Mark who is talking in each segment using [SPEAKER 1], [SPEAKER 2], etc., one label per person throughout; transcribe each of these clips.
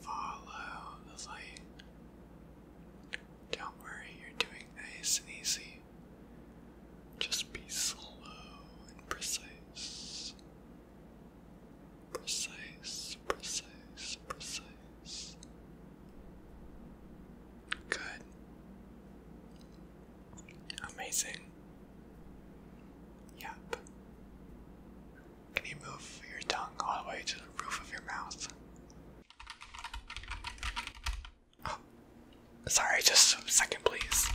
[SPEAKER 1] Follow the light. Don't worry, you're doing nice and easy. Just be slow and precise. Precise, precise, precise. Good. Amazing. Yep. Can you move your tongue all the way to the roof of your mouth? Oh, sorry, just a second, please.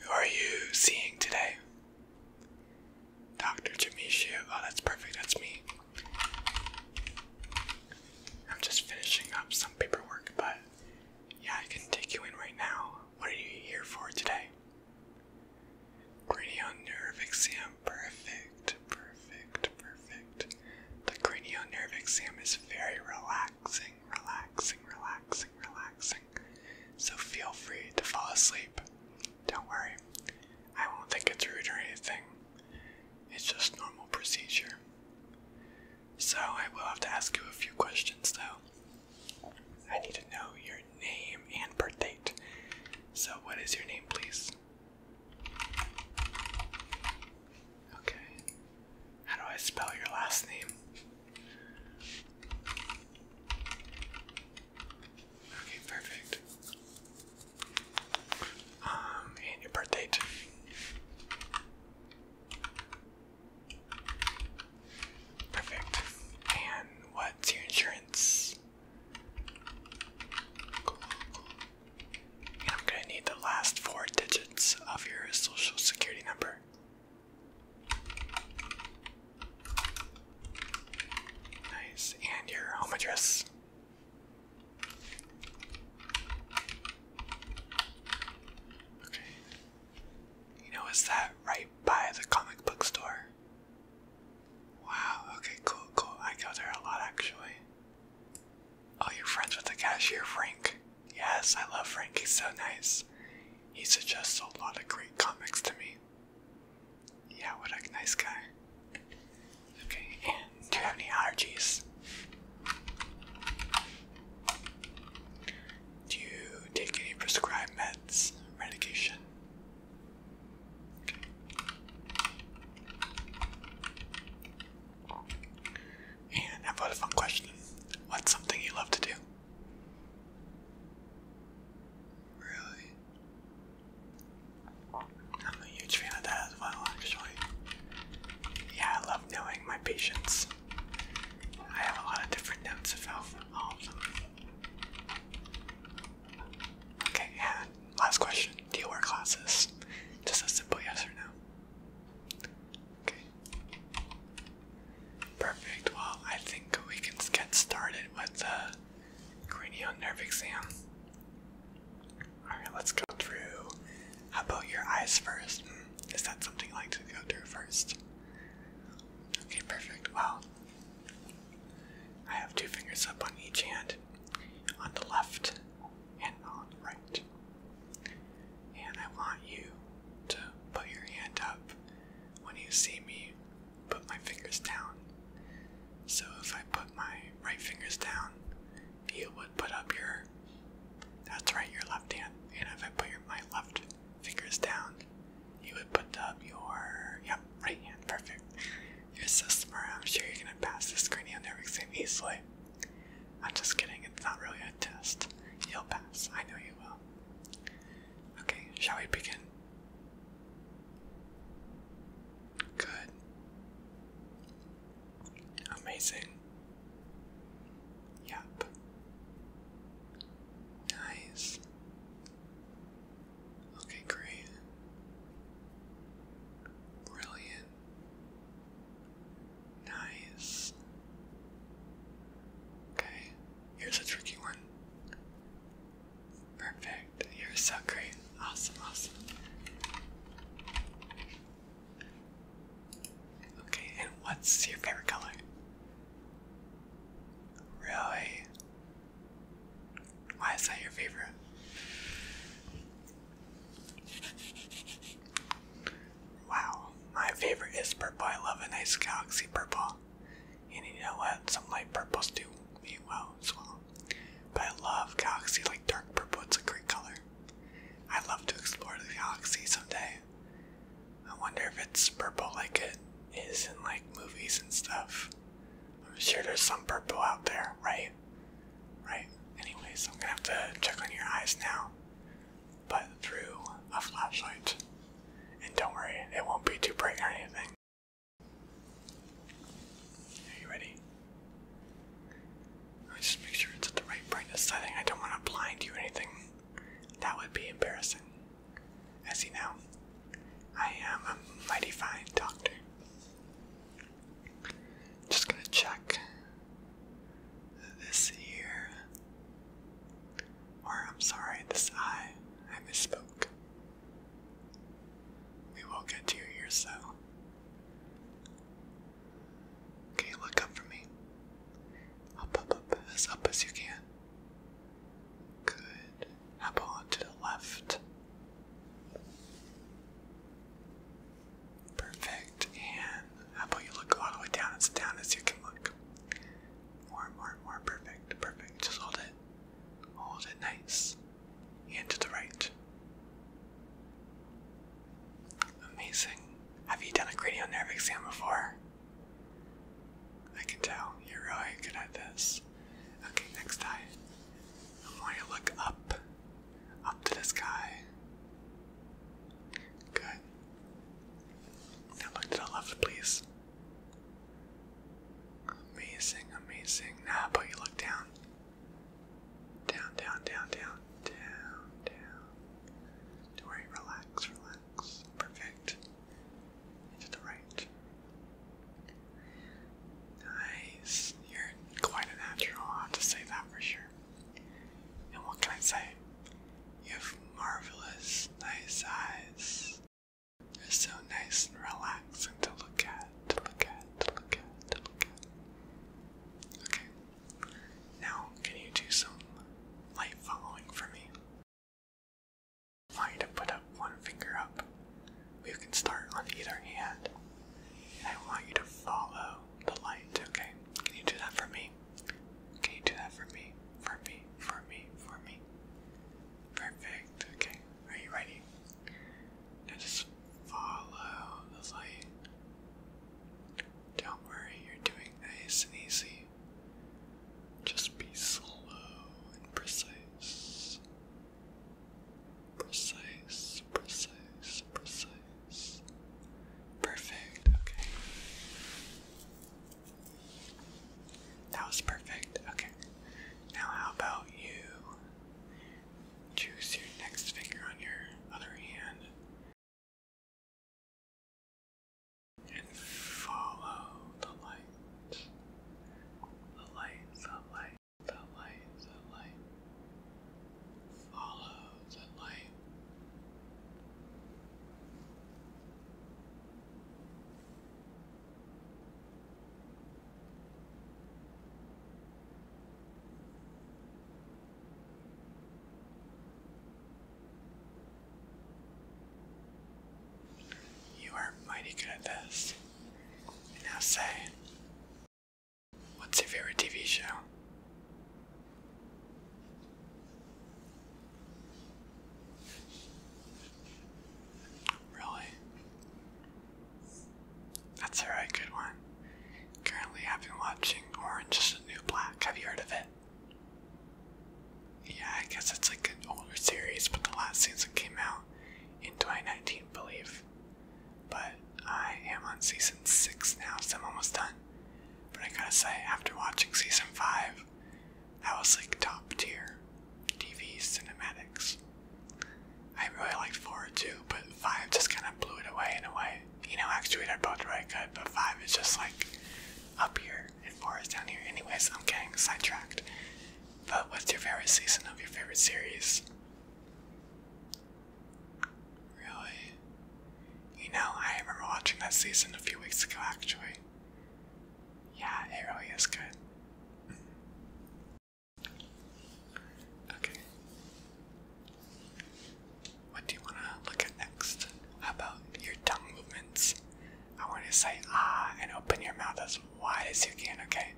[SPEAKER 1] Who are you seeing today? Dr. Jamishu. Oh, that's perfect. That's me. I'm just finishing up some paperwork, but yeah, I can take you in right now. What are you here for today? Cranial nerve exam. Perfect, perfect, perfect. The cranial nerve exam is very relaxing, relaxing, relaxing, relaxing. So feel free to fall asleep. Don't worry. I won't think it's rude or anything. It's just normal procedure. So I will have to ask you a few questions though. I need to know your name and birth So, what is your name, please? Okay. How do I spell your last name? Okay, perfect. Um, and your birth Perfect. And what's your insurance? I'm gonna need the last four digits of your social security number. Nice. And your home address. Okay. You know, is that right by the comic book store? Wow, okay, cool, cool. I go there a lot actually. Oh, you friends with the cashier, Frank? Yes, I love Frank. He's so nice. He suggests a lot of great comics to me. Yeah, what a nice guy. Okay, do you have any allergies? Do you take any prescribed meds, medication? And about a fun question? What's something you love to do? Really? I'm a huge fan of that as well, actually. Yeah, I love knowing my patients. I have a lot of different notes of health, all of them. Okay, and last question. Do you wear glasses? Just a simple yes or no. Okay. Perfect. Well, I think we can get started with the cranial nerve exam. Alright, let's go through. How about your eyes first? Hmm, is that something you like to go through first? Okay, perfect. Well, I have two fingers up on each hand, on the left and on the right. And I want you to put your hand up when you see me put my fingers down. So if I put my right fingers down, you would put up your that's right, your left hand. And if I put your my left fingers down, you would put up your yep, right hand, perfect. You're so smart, I'm sure you're gonna pass this cranial nerve exam easily. I'm just kidding, it's not really a test. You'll pass, I know you will. Okay, shall we begin? Good. Amazing. Yep. Nice. Okay, great. Brilliant. Nice. Okay, here's a tricky one. Perfect. You're so great. Awesome, awesome. Okay, and what's your favorite color? Really? Why is that your favorite? Wow, my favorite is purple. I love a nice galaxy purple. you know what? Some light purples do me well as well. But I love galaxy like dark purple, it's a great color. I'd love to explore the galaxy someday. I wonder if it's purple like it is in like movies and stuff. I'm sure there's some purple out there, right? Right. Anyways, I'm gonna have to check on your eyes now, but through a flashlight. And don't worry, it won't be too bright or anything. Are you ready? Let me just make sure it's at the right brightness setting. I don't want to blind you or anything. That would be embarrassing. As you know, I am a mighty fine doctor. Just gonna check this ear. Or, I'm sorry, this eye. I misspoke. We will get to your ears, though. Okay, look up for me. Up, up, up, as up as you can. Good. How about to the left? Perfect. And how about you look all the way down as down as you can look? More and more and more. Perfect. Perfect. Just hold it. Hold it nice. And to the right. Amazing. Have you done a cranial nerve exam before? I can tell you're really good at this. Okay, next time, I want you to look up, up to the sky. Good. Now look to the left, please. Amazing, amazing. Now, but you look down. Down, down, down, down, down, down. Don't worry, relax, relax. Perfect to the right. Nice. You're quite a natural, I'll have to say that for sure. And what can I say? You have marvelous, nice eyes. They're so nice and relaxing to look at, to look at, to look at, to look at. Okay. Now, can you do some light following for me? I want you to put up one finger up. You can start on either hand. I want you to follow the light, okay? Can you do that for me? Can you do that for me? For me, for me, for me. Perfect, okay. Are you ready? Now just follow the light. Don't worry, you're doing nice easy. Just be slow and precise. Precise, precise, precise. Perfect, okay. That was perfect, okay. Now, how about you choose your next finger on your other hand and follow the light. The light, the light, the light, the light. Follow the light. You are mighty good at this. And now say, what's your favorite TV show? Really? That's a very good one. Currently, I've been watching Orange is the New Black. Have you heard of it? Yeah, I guess it's like an older series, but the last season came out in 2019, I believe. But I am on season 6 now, so I'm almost done. But I gotta say, after watching season 5, that was like top tier TV cinematics. I really liked 4 too, but 5 just kind of blew it away in a way. You know, actually, they're both really good, but 5 is just like up here and far is down here. Anyways, I'm getting sidetracked. But what's your favorite season of your favorite series? Really? You know, I remember watching that season a few weeks ago actually. Yeah, it really is good. Okay. What do you want to look at next? about your tongue movements? I want to say ah and open your mouth as wide as you can, okay?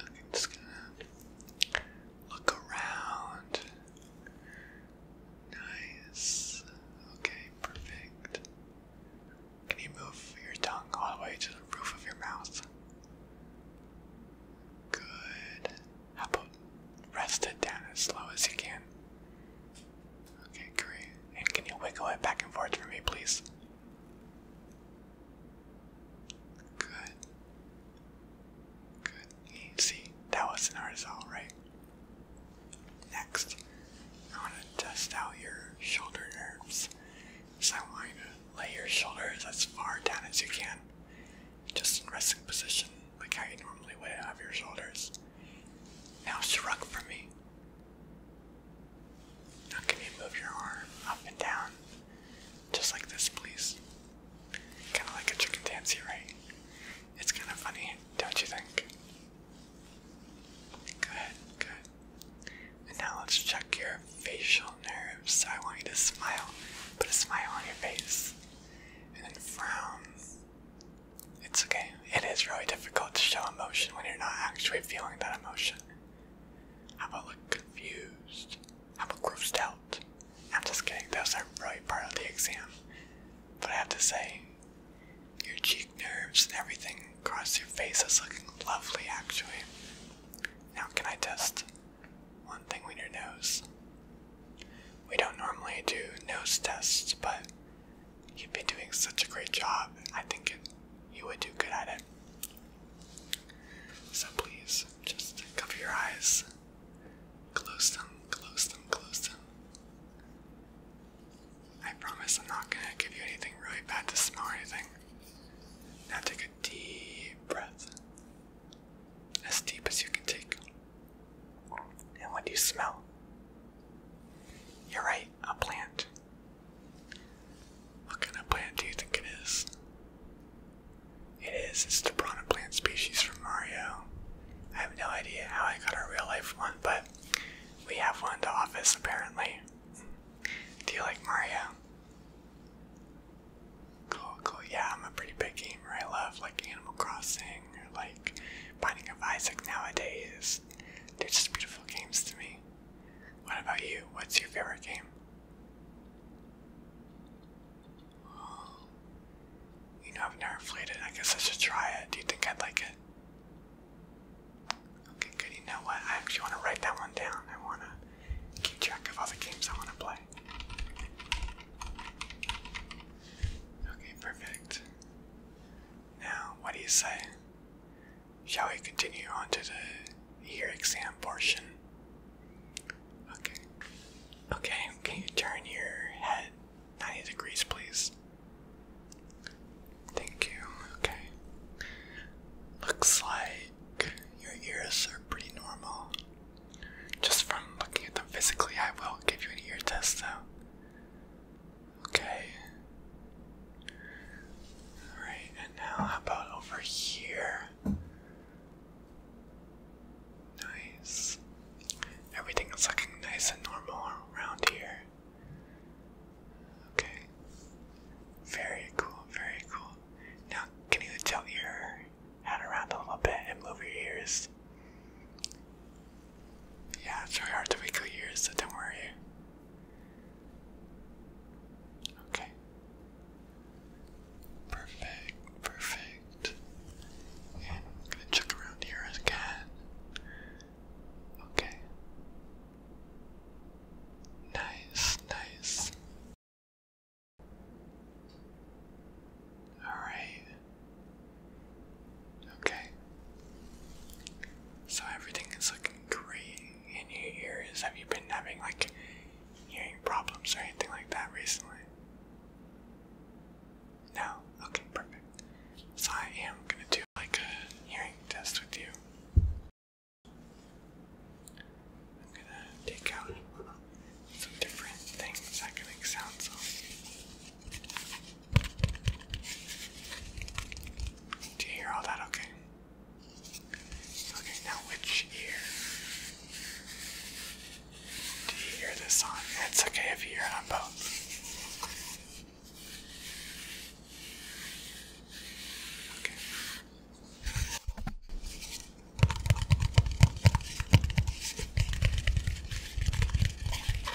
[SPEAKER 1] I'm just gonna look around. Nice. Okay, perfect. Can you move your tongue all the way to the roof of your mouth? Good. How about rest it down as low as you can? Okay, great. And can you wiggle it back and forth for me, please? Good. Good. See, that wasn't our result, right? Next, I want to test out your shoulder nerves. So I want you to lay your shoulders as far down as you can, just in resting position, like how you normally would have your shoulders. Now shrug for me. Now can you move your arm up and down? Just like this, please. Kind of like a chicken dancy, right? It's kind of funny, don't you think? Good, good. And now let's check your facial nerves. I want you to smile. Put a smile on your face. And then frown. It's okay. It is really difficult to show emotion when you're not actually feeling that emotion. How about look confused? How about grossed out? I'm just kidding, those aren't really part of the exam. But I have to say, your cheek nerves and everything across your face is looking lovely actually. Now can I test one thing with your nose? We don't normally do nose tests, but you would be doing such a great job. I think you would do good at it. So please, just cover your eyes. Close them, close them, close them. I promise I'm not gonna give you anything really bad to smell or anything. Now take a deep breath. As deep as you can take. And what do you smell? You're right, a plant. What kind of plant do you think it is? It is, it's the piranha plant species from Mario. I have no idea how I got a real life one, but we have one in the office apparently. Do you like Mario? Cool, cool. Yeah, I'm a pretty big gamer. I love like Animal Crossing like Binding of Isaac nowadays. They're just beautiful games to me. What about you? What's your favorite game? you know, I've never played it. I guess I should try it. Do you think I'd like it? Okay, good. You know what? I actually want to write that one down. I want to keep track of all the games I want to play. Okay, perfect. Now, what do you say? Shall we continue on to the ear exam portion? Okay. Okay, can you turn your head 90 degrees, please? Thank you. Okay. Looks like your ears are pretty normal. Just from looking at them physically, I will give you an ear test though. Okay. Alright, and now how about over here? Nice. Everything is looking nice and normal around here. Okay. Very cool, very cool. Now, can you tilt your head around a little bit and move your ears? Yeah, it's really hard to wiggle yours, so don't worry. Okay. Perfect, perfect. And I'm gonna check around here again. Okay. Nice, nice. Alright. Okay. So everything is looking great in your ears. Have you been having like hearing problems or anything like that recently? No? Okay, perfect. So I am gonna do like a hearing test with you. I'm gonna take out some different things that can make sounds do you hear all that okay? Okay, now which ear? Do you hear this on? It's okay if you hear on both.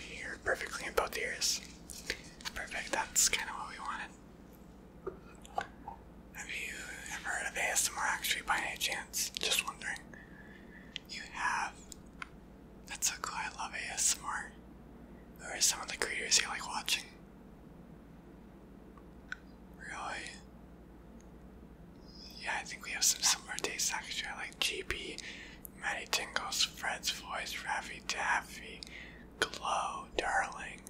[SPEAKER 1] Here, perfectly in both ears. Perfect, that's kind of what we wanted. Have you ever heard of ASMR actually by any chance? Just wondering. You have? That's so cool, I love ASMR. Who are some of the creators you like watching? Really? Yeah, I think we have some similar tastes actually. I like GP, Matty Tingles, Fred's voice, Raffy Taffy, Glow, Darling.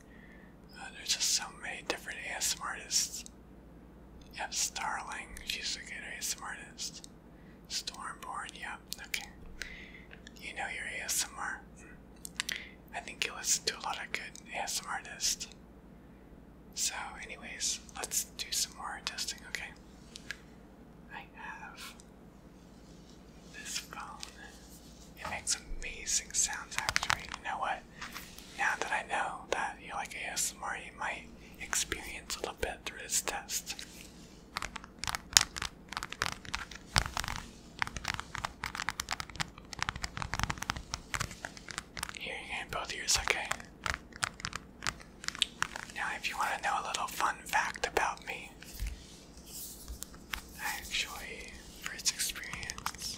[SPEAKER 1] Uh, there's just so many different ASMR artists. Yep, Starling, she's a good ASMR artist. Stormborn, yep, okay. You know your ASMR. Hmm. I think you listen to a lot of good ASMR artists. So, anyways, let's do some more testing, okay? I have this phone. It makes amazing sounds actually. You know what? Now that I know that you like ASMR, you might experience a little bit through this test. Here, you can both ears, okay? Now, if you want to know a little fun fact about me, I actually, first experience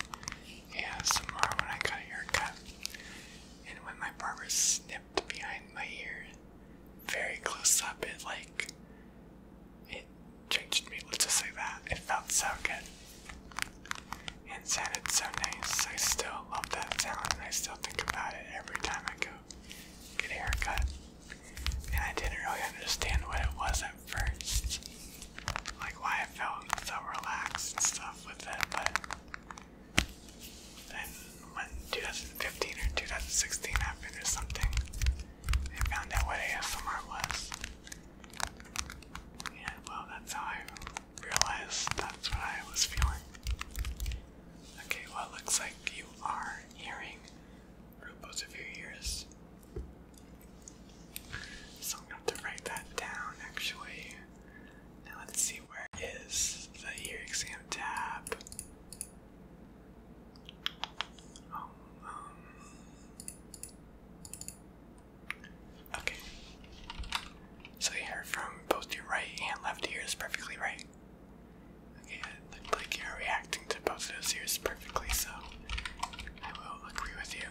[SPEAKER 1] ASMR when I got a haircut, and when my barber snipped behind my ear very close up, it like it changed me. Let's just say that it felt so good. And sounded so nice. I still love that sound, and I still think about it every time I go get haircut. And I didn't really understand what it was at first. Like why I felt so relaxed and stuff with it, but then when 2015 or 2016 happened or something, I found out what ASMR was. Yeah, well that's how I realized that's what I was feeling. Okay, well, it looks like you are hearing through both of your ears. So I'm going to have to write that down actually. Now let's see where is the ear exam tab. Oh, um, okay. So here, from both your right and left ears perfectly right. Okay, it looks like you're reacting to both of those ears perfectly, so I will agree with you.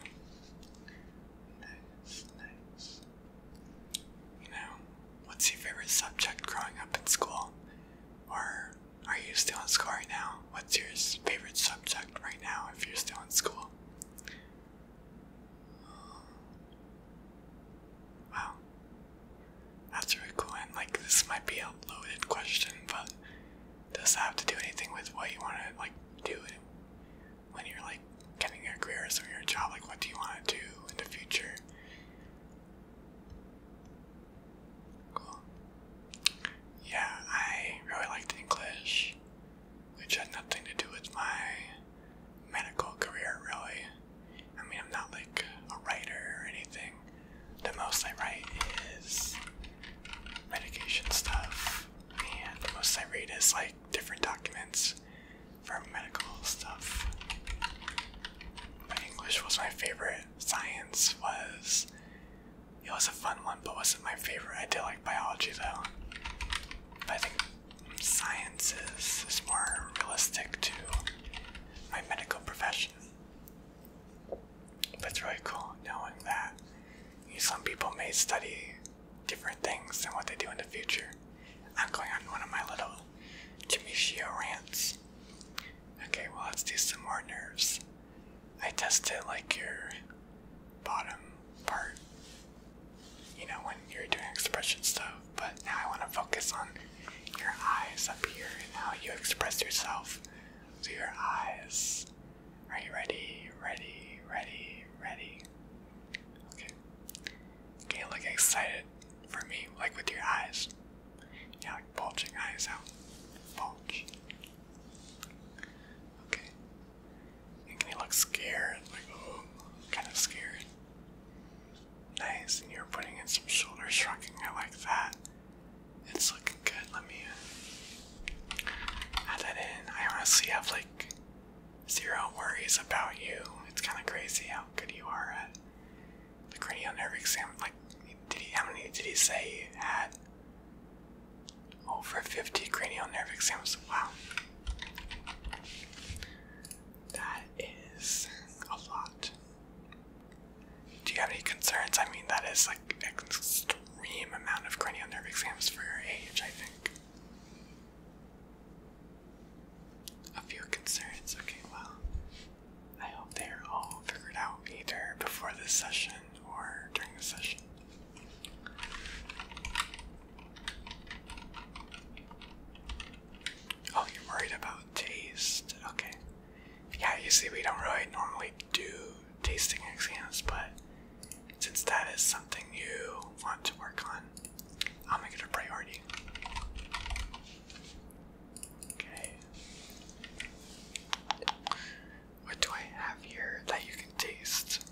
[SPEAKER 1] You know, what's your favorite subject growing up in school? Or are you still in school right now? What's your favorite subject right now if you're still in school? Wow. That's really cool. And like, this might be a loaded question, but does that have to do anything with what you want to like do when you're like getting your career or your job? Like, what do you want to do in the future? Cool. Yeah, I really liked English, which had nothing to do with my medical career, really. I mean, I'm not like a writer or anything. The most I write is medication stuff, and the most I read is like different documents for medical stuff. English was my favorite. Science was. It was a fun one, but wasn't my favorite. I did like biology though. I think science is, more realistic too my medical profession. That's really cool knowing that some people may study different things than what they do in the future. I'm going on one of my little Timishio rants. Okay, well, let's do some more nerves. I tested like your bottom part, you know, when you're doing expression stuff but now I want to focus on your eyes up here and how you express yourself through your eyes. Are you ready? Ready? Ready? Ready? Okay. Okay, look excited for me, like with your eyes. Yeah, like bulging eyes out. Bulge. Okay. And can you look scared? Like, oh, kind of scared. Nice, and you're putting in some shoulder shrugging. I like that. It's looking good. Let me uh, add that in. I honestly have like zero worries about you. It's kind of crazy how good you are at the cranial nerve exam. Like, did he? How many did he say you had? Over 50 cranial nerve exams. Wow. That that is a lot. Do you have any concerns? I mean, that is like an extreme amount of cranial nerve exams for your age, I think. A few concerns. Okay, well, I hope they're all figured out either before this session or during the session. Oh, you're worried about taste. Okay. Yeah, you see, we don't really normally do tasting exams, but since that is something you want to work on, I'll make it a priority. Okay. What do I have here that you can taste?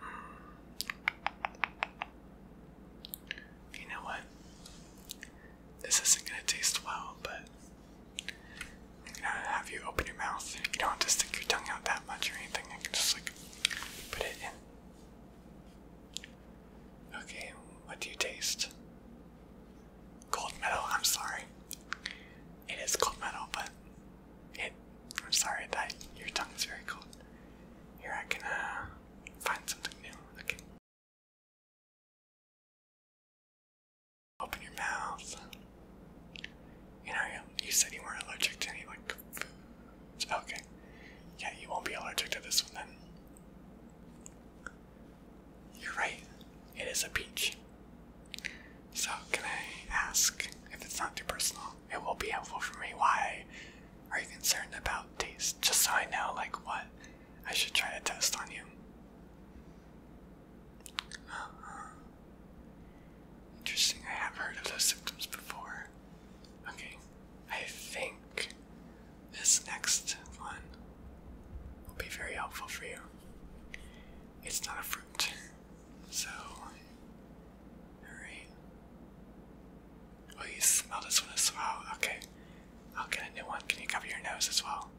[SPEAKER 1] Hmm. You know what? This isn't gonna taste well, but I'm gonna have you open your mouth. You don't have to stick your tongue out that much or anything. I can just like put it in. Okay, what do you taste? Cold metal. I'm sorry. It is cold metal, but it. I'm sorry that your tongue is very cold. Here I can uh, find something new. Okay. Open your mouth. You know, you said you weren't allergic to any like foods. Okay. Yeah, you won't be allergic to this one then. You're right. It is a peach. So, can I ask if it's not too personal? It will be helpful for me why are you concerned about taste? Just so I know, like, what I should try to test on you. Uh-huh. Interesting, I have heard of those symptoms before. Okay, I think this next one will be very helpful for you. It's not a fruit, so. Alright. Oh, you smell this one as well. Okay. I'll get a new one. Can you cover your nose as well?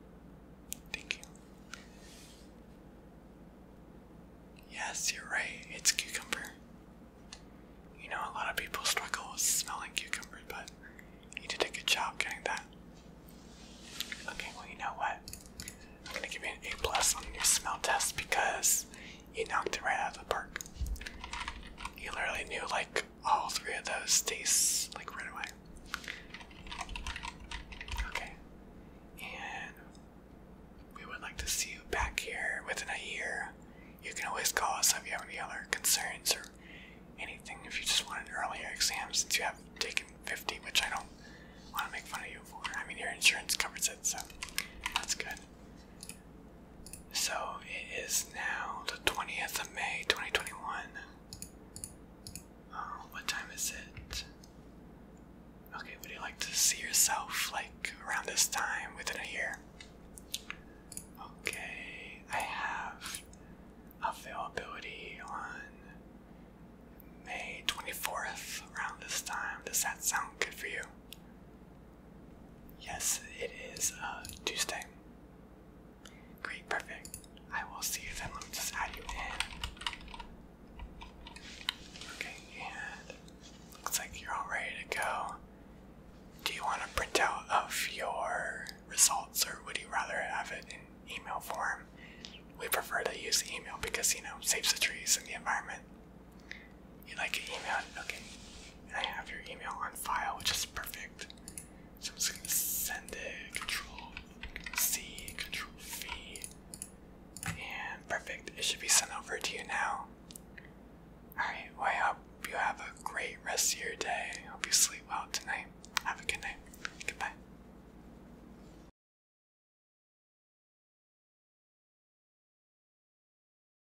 [SPEAKER 1] Thank you. Yes, you're right. It's cucumber. You know, a lot of people struggle with smelling cucumber, but you did a good job getting that. Okay, well, you know what? I'm gonna give you an A plus on your smell test because you knocked it right out of the park. You literally knew like all three of those tastes like right away. Okay. And we would like to see you back here within a year. You can always call us if you have any other concerns or anything if you just want an earlier exam since you have taken 50, which I don't want to make fun of you for. I mean, your insurance covers it, so that's good. So it is now the 20th of May 2021. Uh, what time is it? Okay, would you like to see yourself like around this time within a year? Okay, I have availability on May 24th around this time. Does that sound good for you? Yes, it is uh, Tuesday. Great, perfect. I will see you then. Let me just add you in. Okay, looks like you're all ready to go. Do you want a printout of your results, or would you rather have it in email form? We prefer to use email because you know saves the trees and the environment and I can email Okay, I have your email on file, which is perfect. So I'm just gonna send it. Control C, Control V, and perfect. It should be sent over to you now. All right. Well, I hope you have a great rest of your day. hope you sleep well tonight. Have a good night. Goodbye.